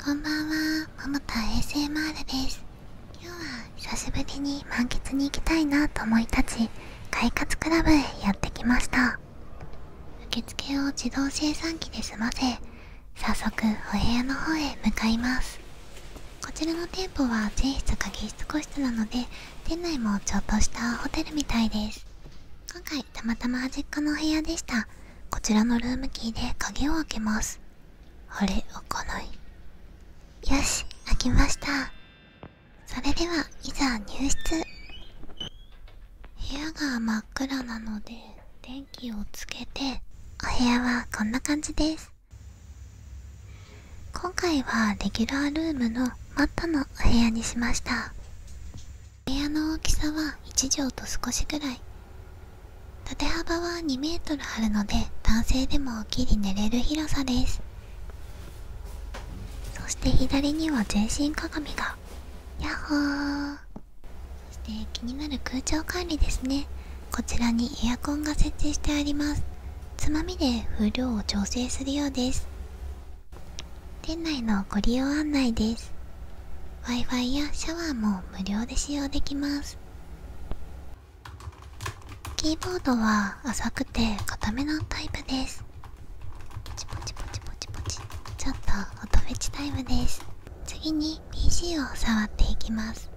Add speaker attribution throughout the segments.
Speaker 1: こんばんは、ももた a s です。今日は久しぶりに満喫に行きたいなと思い立ち、快活クラブへやってきました。受付を自動精算機で済ませ、早速お部屋の方へ向かいます。こちらの店舗は全室鍵室個室なので、店内もちょっとしたホテルみたいです。今回たまたま端っこのお部屋でした。こちらのルームキーで鍵を開けますあれ開かないよし開きましたそれではいざ入室部屋が真っ暗なので電気をつけてお部屋はこんな感じです今回はレギュラールームのマットのお部屋にしました部屋の大きさは1畳と少しぐらい縦幅は2 m ーあるので男性でも起きり寝れる広さですそして左には全身鏡がやっほーそして気になる空調管理ですねこちらにエアコンが設置してありますつまみで風量を調整するようです店内のご利用案内です Wi-Fi やシャワーも無料で使用できますキーボードは浅くて固めのタイプですちょっと音フェチタイムです次に PC を触っていきます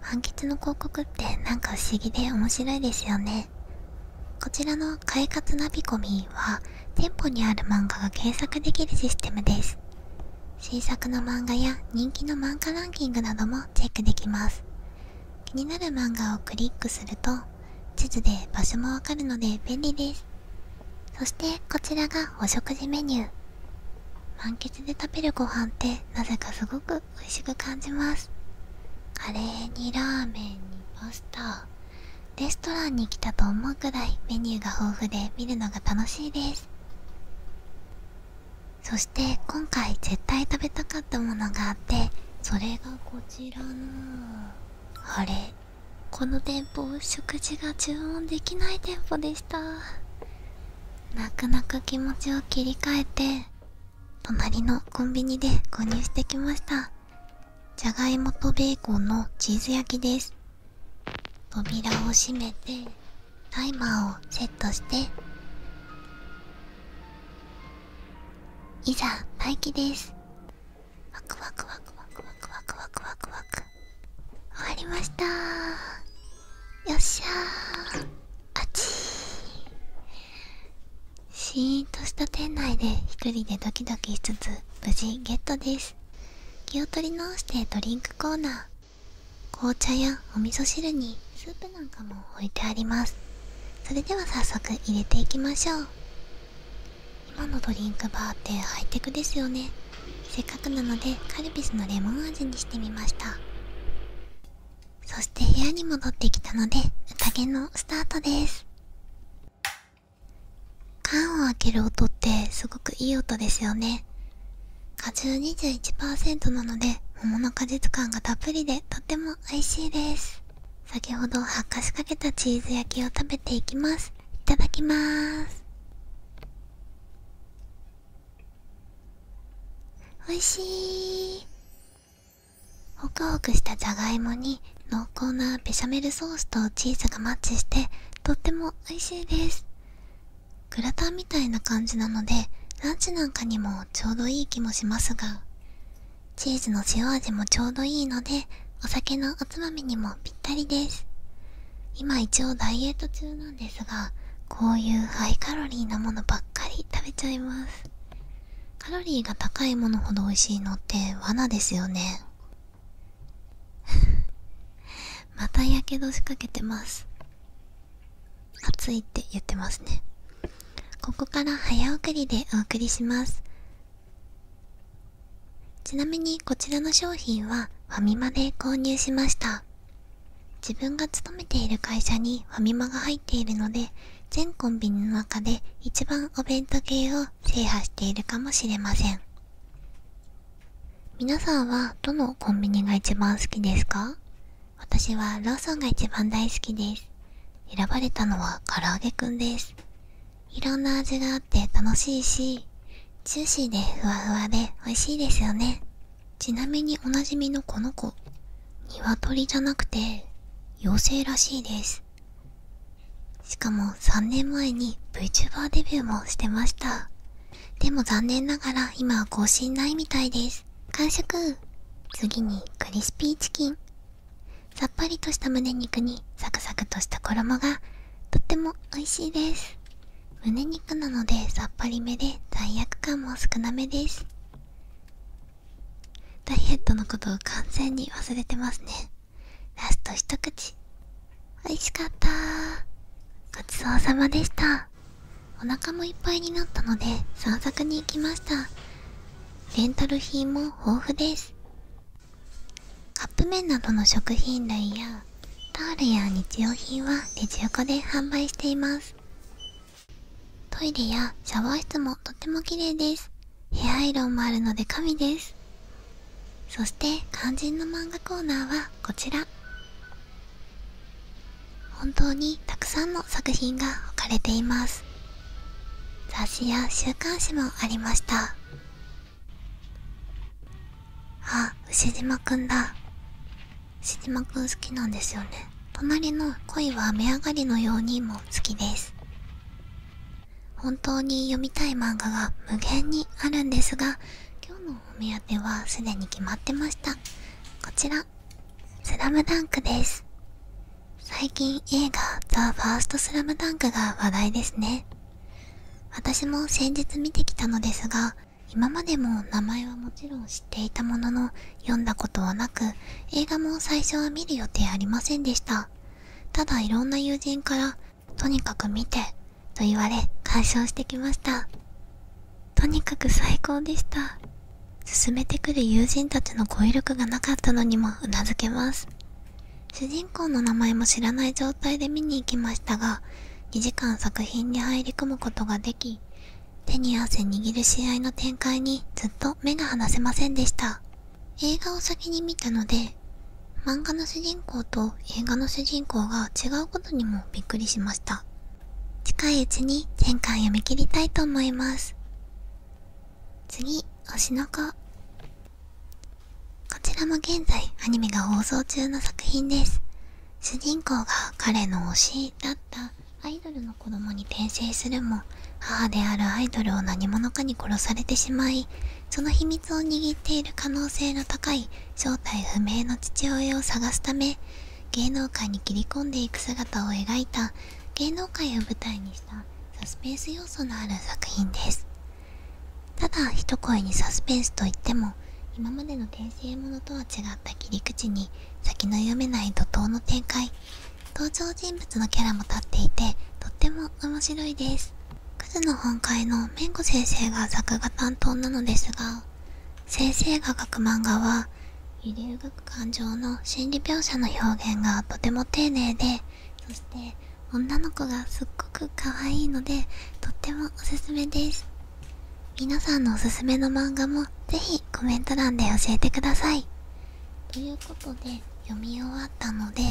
Speaker 1: 判決の広告ってなんか不思議で面白いですよねこちらの快活ナビコミは店舗にある漫画が検索できるシステムです新作の漫画や人気の漫画ランキングなどもチェックできます気になる漫画をクリックすると地図で場所もわかるので便利ですそしてこちらがお食事メニュー満喫で食べるご飯ってなぜかすごく美味しく感じますカレーにラーメンにパスタレストランに来たと思うくらいメニューが豊富で見るのが楽しいですそして今回絶対食べたかったものがあってそれがこちらのあれこの店舗食事が注文できない店舗でした泣く泣く気持ちを切り替えて隣のコンビニで購入してきましたじゃがいもとベーコンのチーズ焼きです扉を閉めてタイマーをセットしていざ待機ですワクワクワクワクワクワクワクワクワク終わりましたよっしゃーあちシーンとした店内で一人でドキドキしつつ無事ゲットです気を取り直してドリンクコーナー紅茶やお味噌汁にスープなんかも置いてありますそれでは早速入れていきましょう今のドリンクバーってハイテクですよねせっかくなのでカルピスのレモン味にしてみましたそして部屋に戻ってきたので宴のスタートです缶を開ける音ってすごくいい音ですよね果汁21%なので桃の果実感がたっぷりでとても美味しいです先ほど発火しかけたチーズ焼きを食べていきますいただきます美味しいホクホクしたじゃがいもに濃厚なベシャメルソースとチーズがマッチしてとっても美味しいですグラタンみたいな感じなのでランチなんかにもちょうどいい気もしますがチーズの塩味もちょうどいいのでお酒のおつまみにもぴったりです今一応ダイエット中なんですがこういうハイカロリーなものばっかり食べちゃいますカロリーが高いものほど美味しいのって罠ですよね またやけどしかけてます暑いって言ってますねここから早送りでお送りしますちなみにこちらの商品はファミマで購入しました自分が勤めている会社にファミマが入っているので全コンビニの中で一番お弁当系を制覇しているかもしれません皆さんはどのコンビニが一番好きですか私はローソンが一番大好きです選ばれたのは唐揚げくんですいろんな味があって楽しいしジューシーでふわふわで美味しいですよねちなみにおなじみのこの子鶏じゃなくて妖精らしいですしかも3年前に VTuber デビューもしてましたでも残念ながら今は更新ないみたいです完食次にクリスピーチキンさっぱりとした胸肉にサクサクとした衣がとっても美味しいです胸肉なのでさっぱりめで罪悪感も少なめですダイエットのことを完全に忘れてますねラスト一口美味しかったごちそうさまでしたお腹もいっぱいになったので散策に行きましたレンタル品も豊富ですカップ麺などの食品類やタオルや日用品はレジ横で販売していますトイレやシャワー室もとっても綺麗ですヘアアイロンもあるので神ですそして肝心の漫画コーナーはこちら本当にたくさんの作品が置かれています雑誌や週刊誌もありましたあ牛島くんだ牛島くん好きなんですよね隣の恋は雨上がりのようにも好きです本当に読みたい漫画が無限にあるんですが今日のお目当てはすでに決まってましたこちら「スラムダンクです最近映画「ザ・ファーストスラムダンクが話題ですね私も先日見てきたのですが今までも名前はもちろん知っていたものの読んだことはなく映画も最初は見る予定ありませんでしたただいろんな友人からとにかく見てと言われ鑑賞してきましたとにかく最高でした進めてくる友人たちの語彙力がなかったのにも頷けます主人公の名前も知らない状態で見に行きましたが2時間作品に入り込むことができ手に汗握る試合の展開にずっと目が離せませんでした映画を先に見たので漫画の主人公と映画の主人公が違うことにもびっくりしました近いうちに全巻読み切りたいと思います次推しの子こちらも現在アニメが放送中の作品です主人公が彼の推しだったアイドルの子供に転生するも母であるアイドルを何者かに殺されてしまいその秘密を握っている可能性の高い正体不明の父親を探すため芸能界に切り込んでいく姿を描いた芸能界を舞台にしたサスペンス要素のある作品ですただ一声にサスペンスといっても今までの転生ものとは違った切り口に先の読めない怒涛の展開登場人物のキャラも立っていてとっても面白いですクズの本会のめんこ先生が作画担当なのですが先生が描く漫画は揺り動く感情の心理描写の表現がとても丁寧でそして女の子がすっごく可愛いのでとってもおすすめです皆さんのおすすめの漫画も是非コメント欄で教えてくださいということで読み終わったので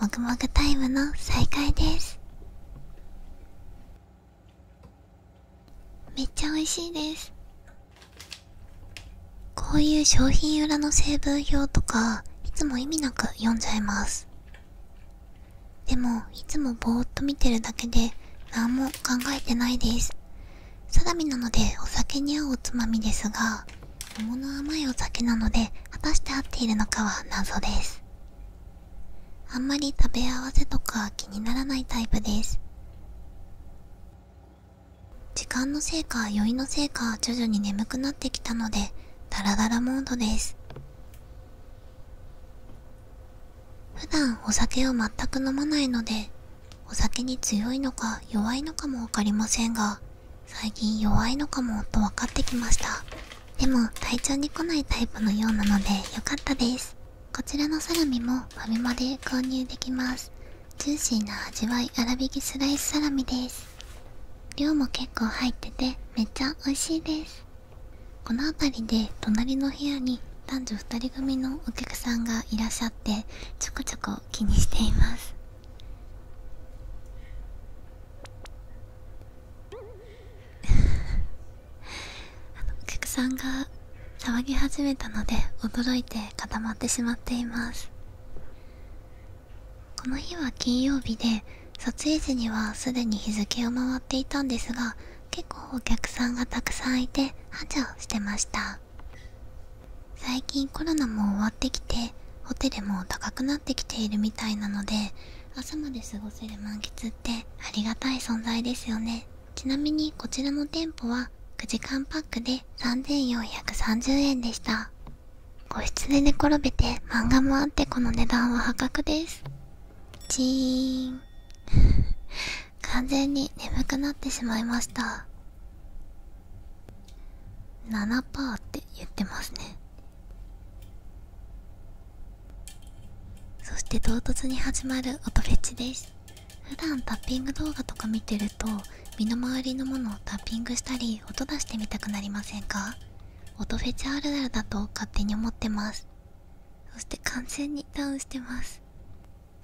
Speaker 1: もぐもぐタイムの再会ですめっちゃ美味しいですこういう商品裏の成分表とかいつも意味なく読んじゃいますでもいつもぼーっと見てるだけで何も考えてないですサラミなのでお酒に合うおつまみですが桃の甘いお酒なので果たして合っているのかは謎ですあんまり食べ合わせとか気にならないタイプです時間のせいか酔いのせいか徐々に眠くなってきたのでダラダラモードです普段お酒を全く飲まないのでお酒に強いのか弱いのかも分かりませんが最近弱いのかもと分かってきましたでも体調に来ないタイプのようなので良かったですこちらのサラミもファミマで購入できますジューシーな味わい粗びきスライスサラミです量も結構入っててめっちゃ美味しいですこの辺りで隣の部屋に男女2人組のお客さんがいらっしゃってちょくちょく気にしています あのお客さんが騒ぎ始めたので驚いて固まってしまっていますこの日は金曜日で撮影時にはすでに日付を回っていたんですが結構お客さんがたくさんいて繁盛してました最近コロナも終わってきてホテルも高くなってきているみたいなので朝まで過ごせる満喫ってありがたい存在ですよねちなみにこちらの店舗は9時間パックで3430円でした個室で寝転べて漫画もあってこの値段は破格ですチーン 完全に眠くなってしまいました7%って言ってますねそして唐突に始まる音フェチです普段タッピング動画とか見てると身の回りのものをタッピングしたり音出してみたくなりませんか音フェチあるあるだと勝手に思ってますそして完全にダウンしてます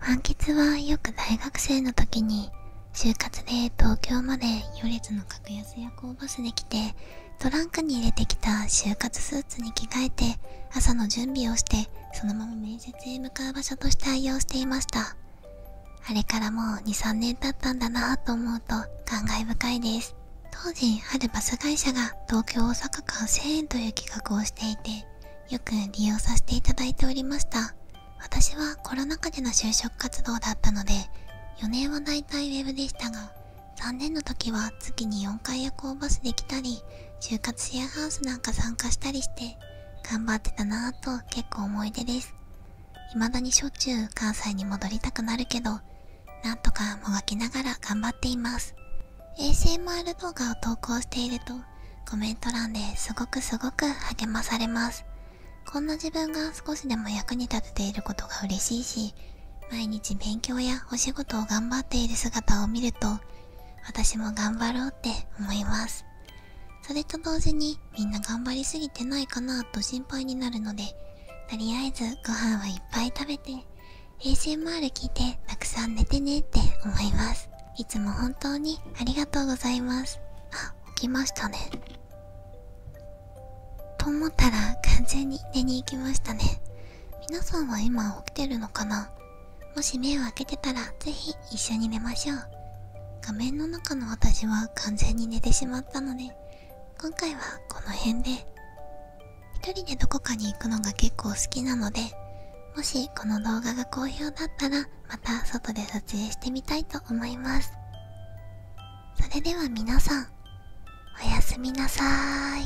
Speaker 1: 満喫はよく大学生の時に就活で東京まで行列の格安夜行バスで来てトランクに入れてきた就活スーツに着替えて朝の準備をしてそのまま面接へ向かう場所として愛用していましたあれからもう23年経ったんだなと思うと感慨深いです当時あるバス会社が東京大阪間1000円という企画をしていてよく利用させていただいておりました私はコロナ禍での就職活動だったので4年はだいたいウェブでしたが3年の時は月に4回夜行バスで来たり就活シェアハウスなんか参加したりして頑張ってたなぁと結構思い出です未だにしょっちゅう関西に戻りたくなるけどなんとかもがきながら頑張っています ASMR 動画を投稿しているとコメント欄ですごくすごく励まされますこんな自分が少しでも役に立てていることが嬉しいし毎日勉強やお仕事を頑張っている姿を見ると私も頑張ろうって思いますそれと同時にみんな頑張りすぎてないかなと心配になるのでとりあえずご飯はいっぱい食べて ASMR 聞いてたくさん寝てねって思いますいつも本当にありがとうございますあ起きましたねと思ったら完全に寝に行きましたね皆さんは今起きてるのかなもし目を開けてたら是非一緒に寝ましょう画面の中の私は完全に寝てしまったので今回はこの辺で一人でどこかに行くのが結構好きなのでもしこの動画が好評だったらまた外で撮影してみたいと思いますそれでは皆さんおやすみなさい